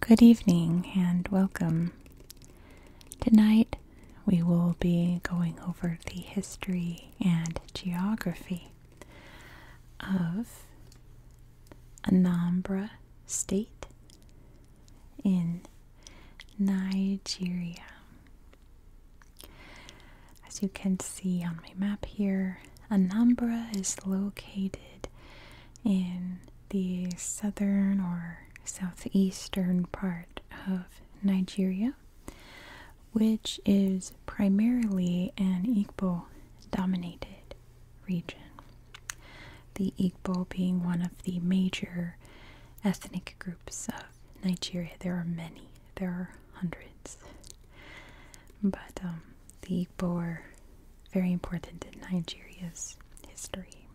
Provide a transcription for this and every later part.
Good evening and welcome. Tonight we will be going over the history and geography of Anambra State in Nigeria. As you can see on my map here, Anambra is located in the southern or southeastern part of Nigeria, which is primarily an Igbo dominated region. The Igbo being one of the major ethnic groups of Nigeria. There are many, there are hundreds. But um, the Igbo very important in Nigeria's history.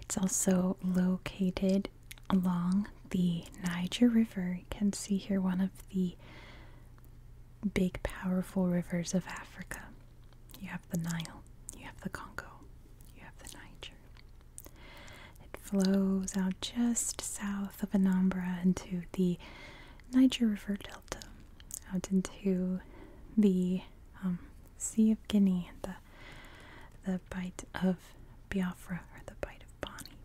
It's also located along the Niger River. You can see here one of the big, powerful rivers of Africa. You have the Nile, you have the Congo, you have the Niger. It flows out just south of Anambra into the Niger River Delta out into the um, Sea of Guinea, the the Bight of Biafra, or the Bight of Bonnie.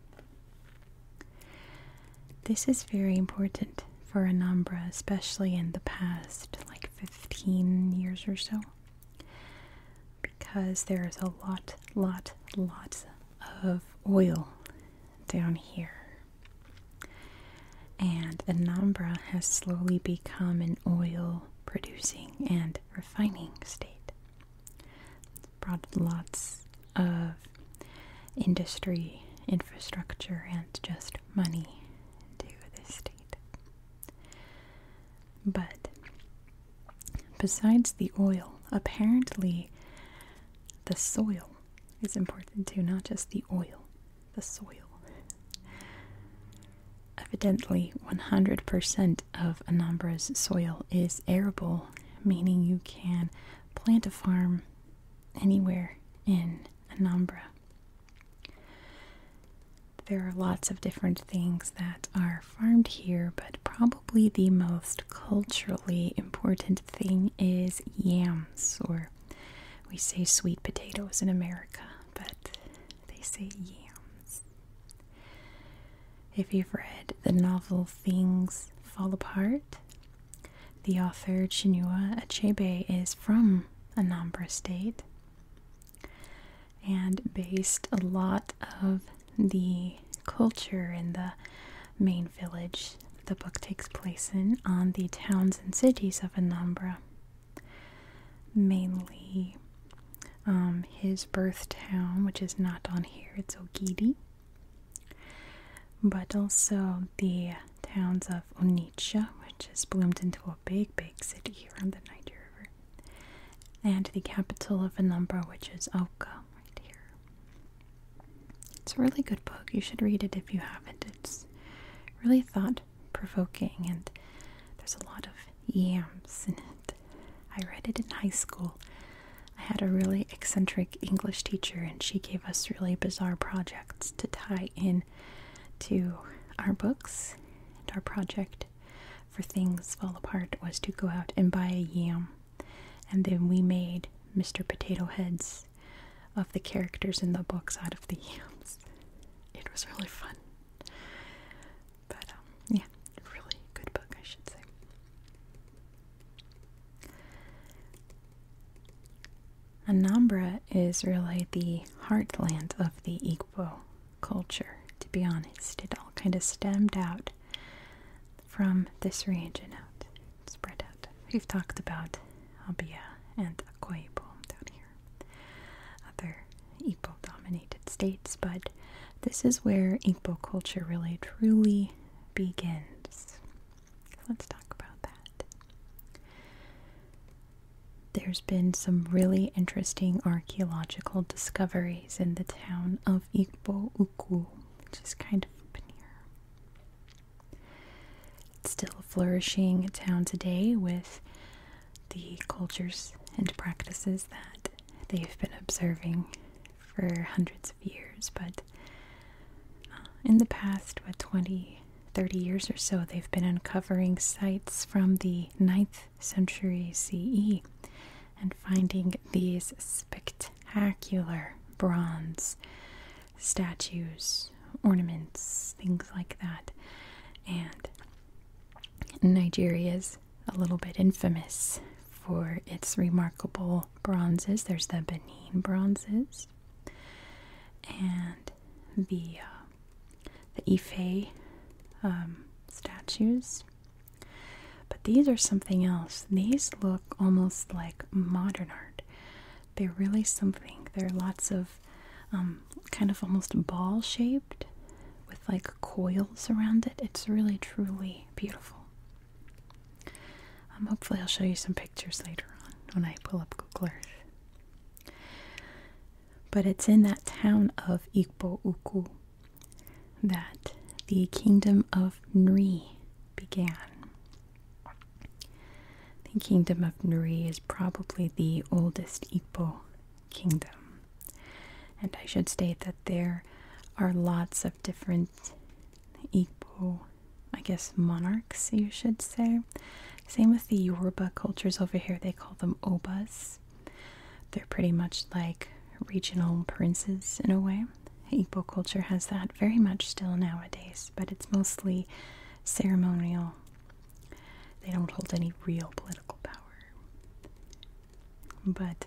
This is very important for Anambra, especially in the past like 15 years or so, because there is a lot, lot, lots of oil down here. And Anambra has slowly become an oil producing and refining state. It's brought lots of industry, infrastructure, and just money into this state. But besides the oil, apparently the soil it's important to not just the oil, the soil. Evidently, 100% of Anambra's soil is arable, meaning you can plant a farm anywhere in Anambra. There are lots of different things that are farmed here, but probably the most culturally important thing is yams or we say sweet potatoes in America, but they say yams. If you've read the novel Things Fall Apart, the author Chinua Achebe is from Anambra State and based a lot of the culture in the main village the book takes place in, on the towns and cities of Anambra. Mainly um, his birth town, which is not on here, it's Ogidi, but also the towns of Onitsha, which has bloomed into a big, big city here on the Niger River, and the capital of Anambra, which is Oka, right here. It's a really good book. You should read it if you haven't. It's really thought provoking and there's a lot of yams in it. I read it in high school. I had a really eccentric English teacher and she gave us really bizarre projects to tie in to our books and our project for things fall apart was to go out and buy a yam and then we made Mr. Potato Head's of the characters in the books out of the yams. It was really fun. But, um, yeah, really good book, I should say. Anambra is really the heartland of the Igbo culture, to be honest. It all kind of stemmed out from this region out, spread out. We've talked about Abia and Akoipo down here, other Igbo dominated states, but this is where Igbo culture really truly begins. Let's talk about that. There's been some really interesting archaeological discoveries in the town of Igbo Uku, which is kind of up here still a flourishing town today with the cultures and practices that they've been observing for hundreds of years, but uh, in the past, what 20, 30 years or so, they've been uncovering sites from the 9th century CE and finding these spectacular bronze statues, ornaments, things like that. And Nigeria is a little bit infamous for its remarkable bronzes. There's the Benin bronzes and the uh, the Ife um, statues. But these are something else. These look almost like modern art. They're really something. they are lots of um, kind of almost ball shaped with like coils around it. It's really truly beautiful. Um, hopefully, I'll show you some pictures later on when I pull up Google Earth. But it's in that town of Igbo-Ukwu that the kingdom of Nri began. The kingdom of Nri is probably the oldest Igbo kingdom. And I should state that there are lots of different Igbo, I guess, monarchs, you should say. Same with the Yoruba cultures over here, they call them Obas. They're pretty much like regional princes in a way. Igbo culture has that very much still nowadays, but it's mostly ceremonial. They don't hold any real political power. But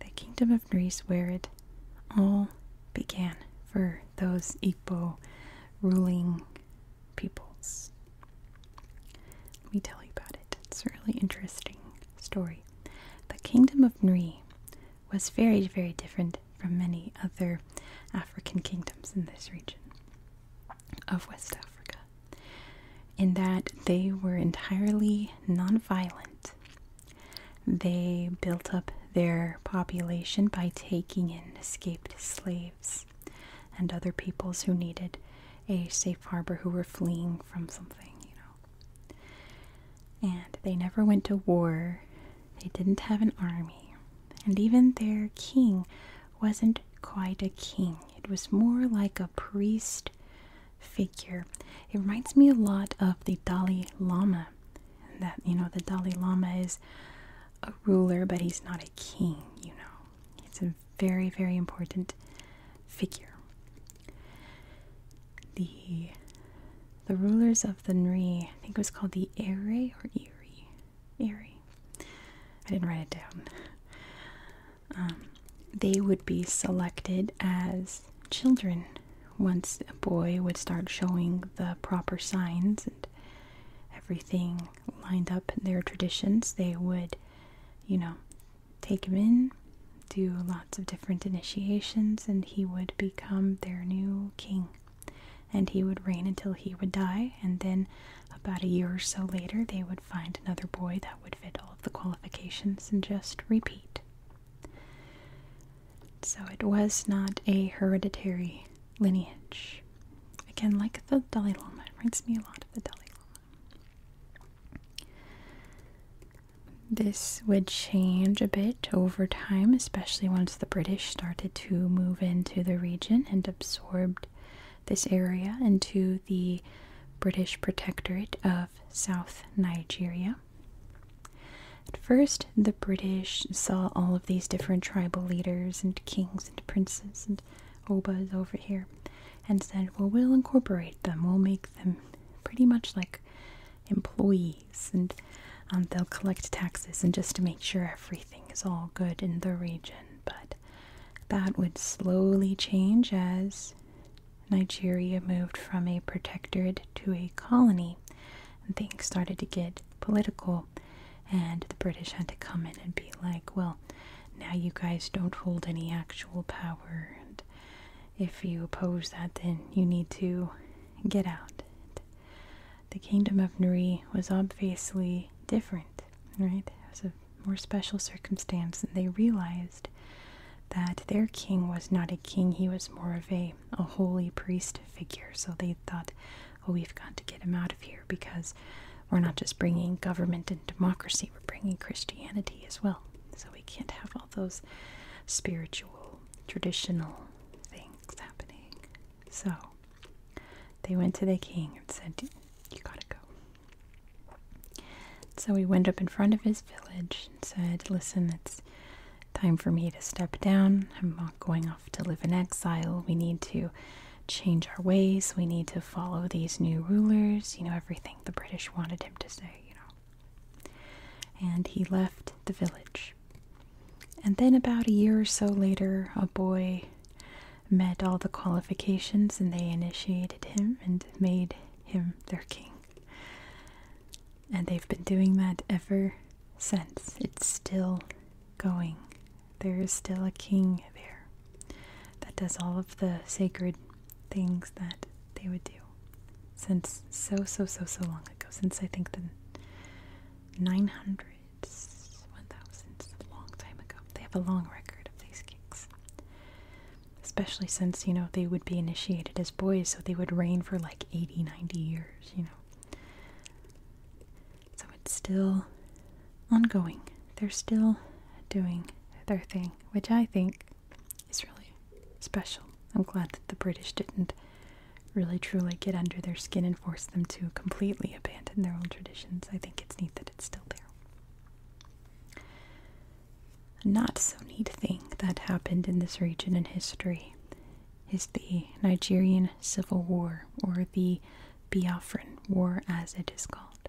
the Kingdom of Nri, where it all began for those Igbo ruling peoples. Let me tell you about it. It's a really interesting story. The Kingdom of Nri was very, very different from many other African kingdoms in this region of West Africa, in that they were entirely nonviolent. They built up their population by taking in escaped slaves and other peoples who needed a safe harbor who were fleeing from something, you know. And they never went to war, they didn't have an army, and even their king wasn't quite a king. It was more like a priest figure. It reminds me a lot of the Dalai Lama. That, you know, the Dalai Lama is a ruler, but he's not a king, you know. It's a very, very important figure the the rulers of the Nri, I think it was called the Eri or Erie. Erie. I didn't write it down. Um, they would be selected as children once a boy would start showing the proper signs and everything lined up in their traditions. They would, you know, take him in do lots of different initiations, and he would become their new king. And he would reign until he would die, and then about a year or so later, they would find another boy that would fit all of the qualifications and just repeat. So it was not a hereditary lineage. Again, like the Dalai Lama, it reminds me a lot of the Dalai Lama. This would change a bit over time, especially once the British started to move into the region and absorbed this area into the British protectorate of South Nigeria. At first, the British saw all of these different tribal leaders and kings and princes and obas over here and said, Well, we'll incorporate them, we'll make them pretty much like employees and um, they'll collect taxes and just to make sure everything is all good in the region. But that would slowly change as Nigeria moved from a protectorate to a colony and things started to get political and the British had to come in and be like, well, now you guys don't hold any actual power and if you oppose that, then you need to get out. The kingdom of Nuri was obviously different, right? It was a more special circumstance, and they realized that their king was not a king, he was more of a, a holy priest figure. So they thought, oh, we've got to get him out of here because we're not just bringing government and democracy, we're bringing Christianity as well. So we can't have all those spiritual traditional things happening. So they went to the king and said, You gotta go. So he went up in front of his village and said, Listen, it's time for me to step down. I'm not going off to live in exile. We need to change our ways. We need to follow these new rulers. You know, everything the British wanted him to say, you know. And he left the village. And then, about a year or so later, a boy met all the qualifications and they initiated him and made him their king. And they've been doing that ever since. It's still going. There is still a king there that does all of the sacred things that they would do since so, so, so, so long ago, since I think the 900s, 1000s, a long time ago. They have a long record of these kings. Especially since, you know, they would be initiated as boys, so they would reign for like 80, 90 years, you know. So it's still ongoing. They're still doing their thing, which I think it's really special. I'm glad that the British didn't really truly get under their skin and force them to completely abandon their old traditions. I think it's neat that it's still there. A not so neat thing that happened in this region in history is the Nigerian Civil War, or the Biafran War as it is called.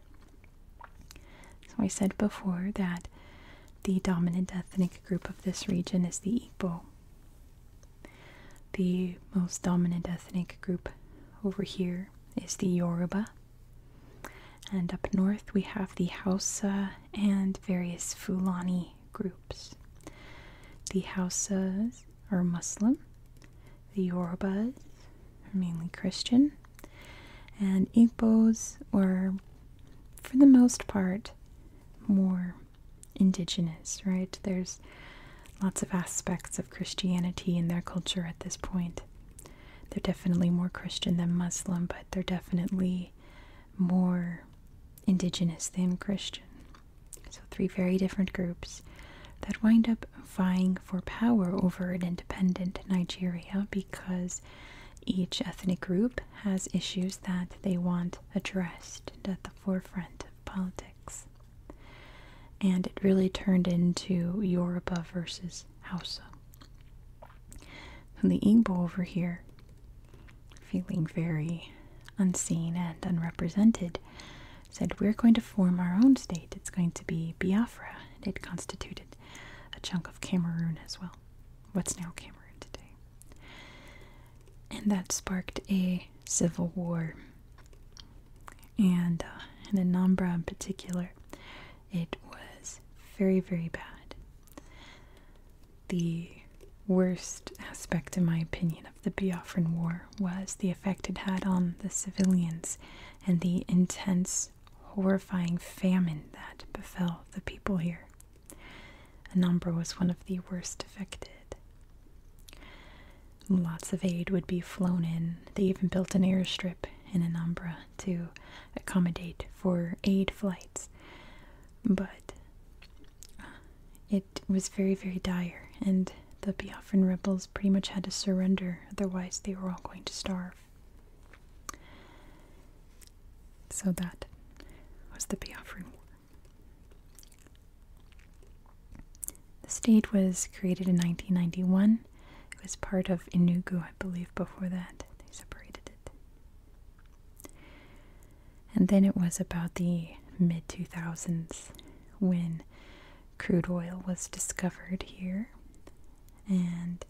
So I said before that the dominant ethnic group of this region is the Igbo. The most dominant ethnic group over here is the Yoruba. And up north we have the Hausa and various Fulani groups. The Hausas are Muslim, the Yorubas are mainly Christian, and Igbos are for the most part, more indigenous, right? There's lots of aspects of Christianity in their culture at this point. They're definitely more Christian than Muslim, but they're definitely more indigenous than Christian. So, three very different groups that wind up vying for power over an independent Nigeria because each ethnic group has issues that they want addressed at the forefront of politics. And it really turned into Yoruba versus Hausa. And the Igbo over here, feeling very unseen and unrepresented, said, We're going to form our own state. It's going to be Biafra. And it constituted a chunk of Cameroon as well what's now Cameroon today. And that sparked a civil war. And uh, in Anambra in particular, it was very, very bad. The worst aspect, in my opinion, of the Biafran War was the effect it had on the civilians and the intense horrifying famine that befell the people here. Anambra was one of the worst affected. Lots of aid would be flown in. They even built an airstrip in Anambra to accommodate for aid flights. But uh, it was very, very dire, and the Biafran rebels pretty much had to surrender, otherwise, they were all going to starve. So that was the Biafran War. The state was created in 1991. It was part of Inugu, I believe, before that. They separated it. And then it was about the mid 2000s when crude oil was discovered here and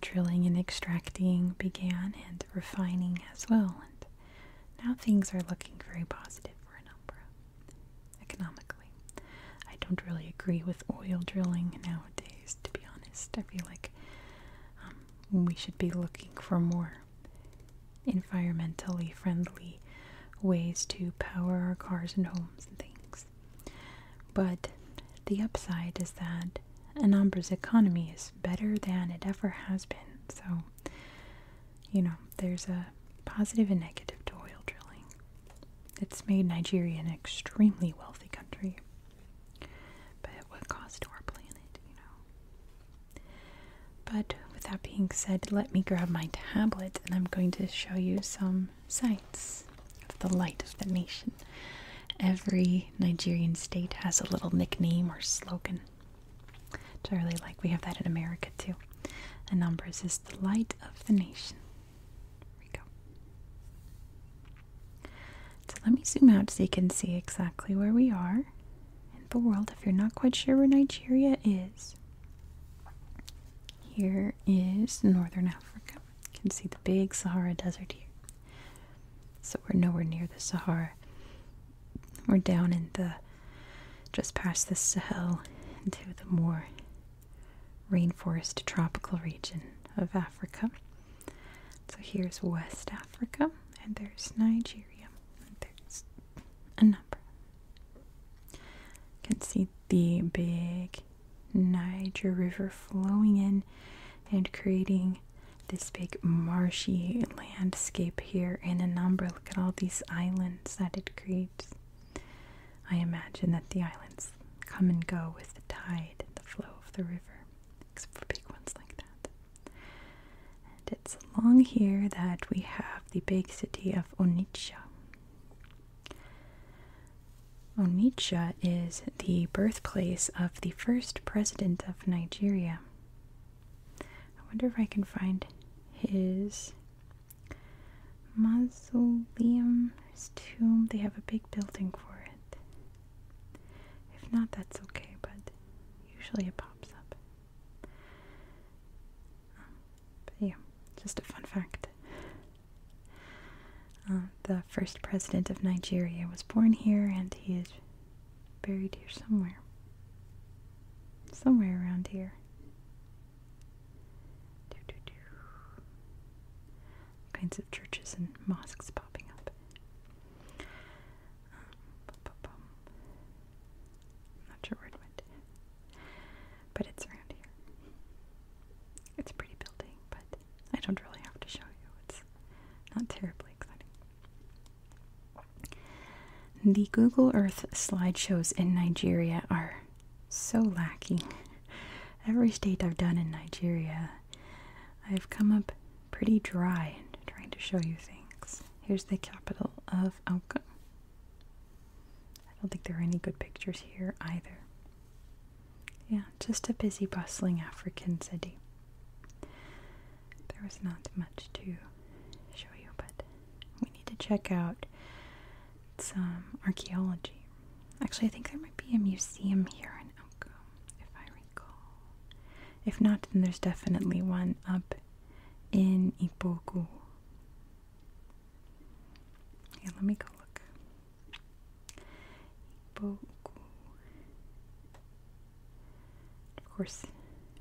drilling and extracting began and refining as well. And now things are looking very positive for Anumbra economically. I don't really agree with oil drilling nowadays, to be honest. I feel like um, we should be looking for more environmentally friendly ways to power our cars and homes and things. But the upside is that Anambra's economy is better than it ever has been. So, you know, there's a positive and negative to oil drilling. It's made Nigeria an extremely wealthy country. But what cost to our planet, you know? But with that being said, let me grab my tablet and I'm going to show you some sites of the light of the nation. Every Nigerian state has a little nickname or slogan. Which like. We have that in America too. And numbers is the light of the nation. There we go. So let me zoom out so you can see exactly where we are in the world if you're not quite sure where Nigeria is. Here is northern Africa. You can see the big Sahara Desert here. So we're nowhere near the Sahara. We're down in the just past the Sahel into the more rainforest tropical region of Africa. So here's West Africa, and there's Nigeria, and there's a number. You can see the big Niger River flowing in and creating this big marshy landscape here in number Look at all these islands that it creates. I imagine that the islands come and go with the tide the flow of the river, except for big ones like that. And it's along here that we have the big city of Onitsha. Onitsha is the birthplace of the first president of Nigeria. I wonder if I can find his mausoleum, his tomb. They have a big building for it. If not, that's okay, but usually it pops up. Um, but yeah, just a fun fact. Uh, the first president of Nigeria was born here, and he is buried here somewhere. Somewhere around here. kinds of churches and mosques popping up. Um, not sure where it went, but it's around here. It's a pretty building, but I don't really have to show you, it's not terribly exciting. The Google Earth slideshows in Nigeria are so lacking. Every state I've done in Nigeria, I've come up pretty dry trying to show you things. Here's the capital of Auka. I don't think there are any good pictures here either. Yeah, just a busy, bustling African city. There was not much to show you, but we need to check out some archaeology. Actually, I think there might be a museum here in Elko, if I recall. If not, then there's definitely one up in Ipoku. Yeah, let me go look. Boku. Of course,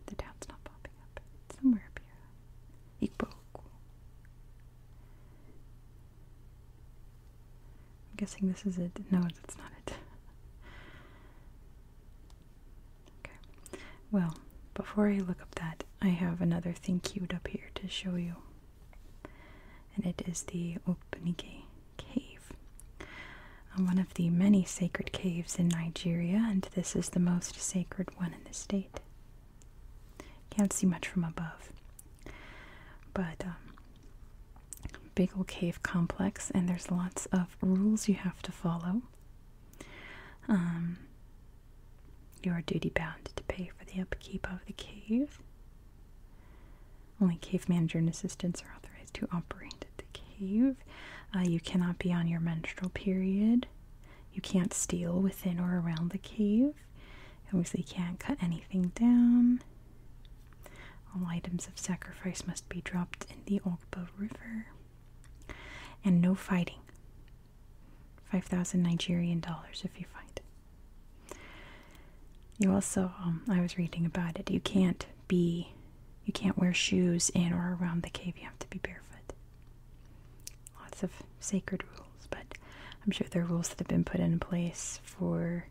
the town's not popping up. It's somewhere up here. Ikboku. I'm guessing this is it. No, that's not it. okay. Well, before I look up that, I have another thing queued up here to show you and it is the Opunike Cave, um, one of the many sacred caves in Nigeria, and this is the most sacred one in the state. Can't see much from above, but um, big old cave complex, and there's lots of rules you have to follow. Um, you are duty bound to pay for the upkeep of the cave. Only cave manager and assistants are authorized to operate the cave. Uh, you cannot be on your menstrual period. You can't steal within or around the cave. You obviously can't cut anything down. All items of sacrifice must be dropped in the Olgba River. And no fighting. 5,000 Nigerian dollars if you fight. You also, um, I was reading about it, you can't be, you can't wear shoes in or around the cave, you have to be barefoot. Lots of sacred rules, but I'm sure there are rules that have been put in place for,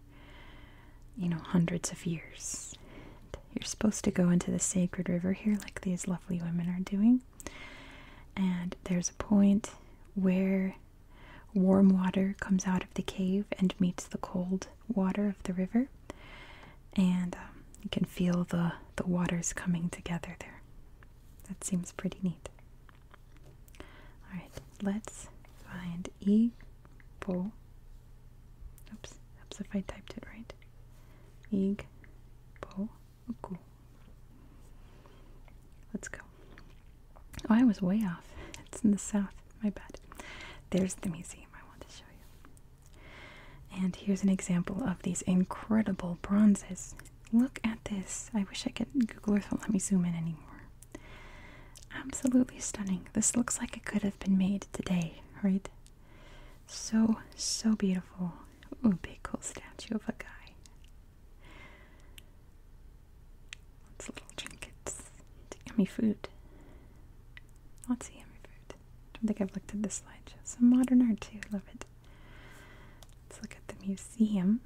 you know, hundreds of years. You're supposed to go into the sacred river here, like these lovely women are doing. And there's a point where Warm water comes out of the cave and meets the cold water of the river, and um, you can feel the, the waters coming together there. That seems pretty neat. Alright, let's find Igbo. Oops, oops if I typed it right. Igbo. Let's go. Oh, I was way off. It's in the south. My bad. There's the museum I want to show you. And here's an example of these incredible bronzes. Look at this. I wish I could. Google Earth won't let me zoom in anymore. Absolutely stunning. This looks like it could have been made today, right? So, so beautiful. Ooh, big cool statue of a guy. Lots of little trinkets. Yummy food. Lots of yummy food. I don't think I've looked at this slideshow. Some modern art too. Love it. Let's look at the museum.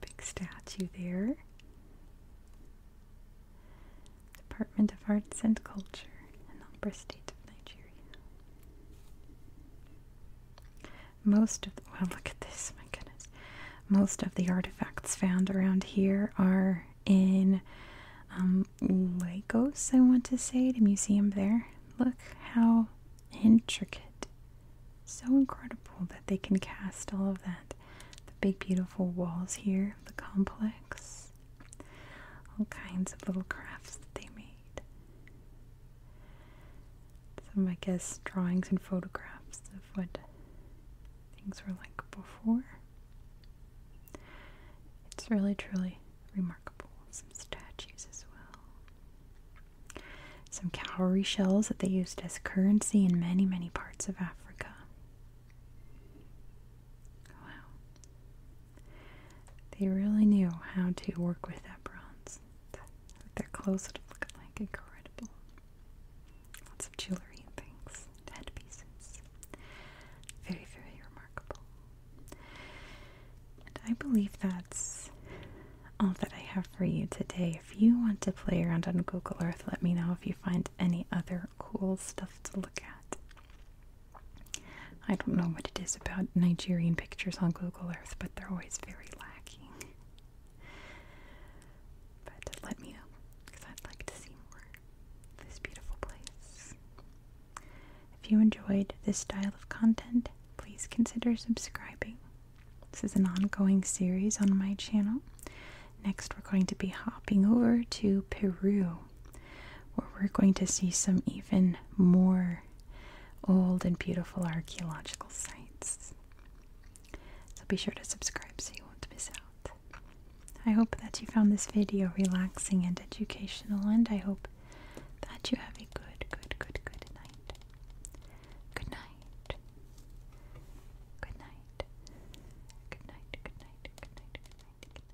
Big statue there. Department of Arts and Culture, Anambra State of Nigeria. Most of the, well, look at this, my goodness. Most of the artifacts found around here are in um, Lagos, I want to say, the museum there. Look how intricate, so incredible that they can cast all of that. The big, beautiful walls here, the complex, all kinds of little crafts that they made some, I guess, drawings and photographs of what things were like before. It's really, truly remarkable. Some statues as well. Some cowrie shells that they used as currency in many, many parts of Africa. Wow. They really knew how to work with that bronze clothes. Their clothes would look like incredible. Lots of jewelry and things, headpieces. Very, very remarkable. And I believe that's all that I have for you today. If you want to play around on Google Earth, let me know if you find any other cool stuff to look at. I don't know what it is about Nigerian pictures on Google Earth, but they're always very lacking. But let me know, because I'd like to see more of this beautiful place. If you enjoyed this style of content, please consider subscribing. This is an ongoing series on my channel. Next, we're going to be hopping over to Peru, where we're going to see some even more old and beautiful archaeological sites. So be sure to subscribe so you won't miss out. I hope that you found this video relaxing and educational, and I hope that you have a good, good, good, good night. Good night. Good night. Good night. Good night. Good night. Good night. Good night. Good night.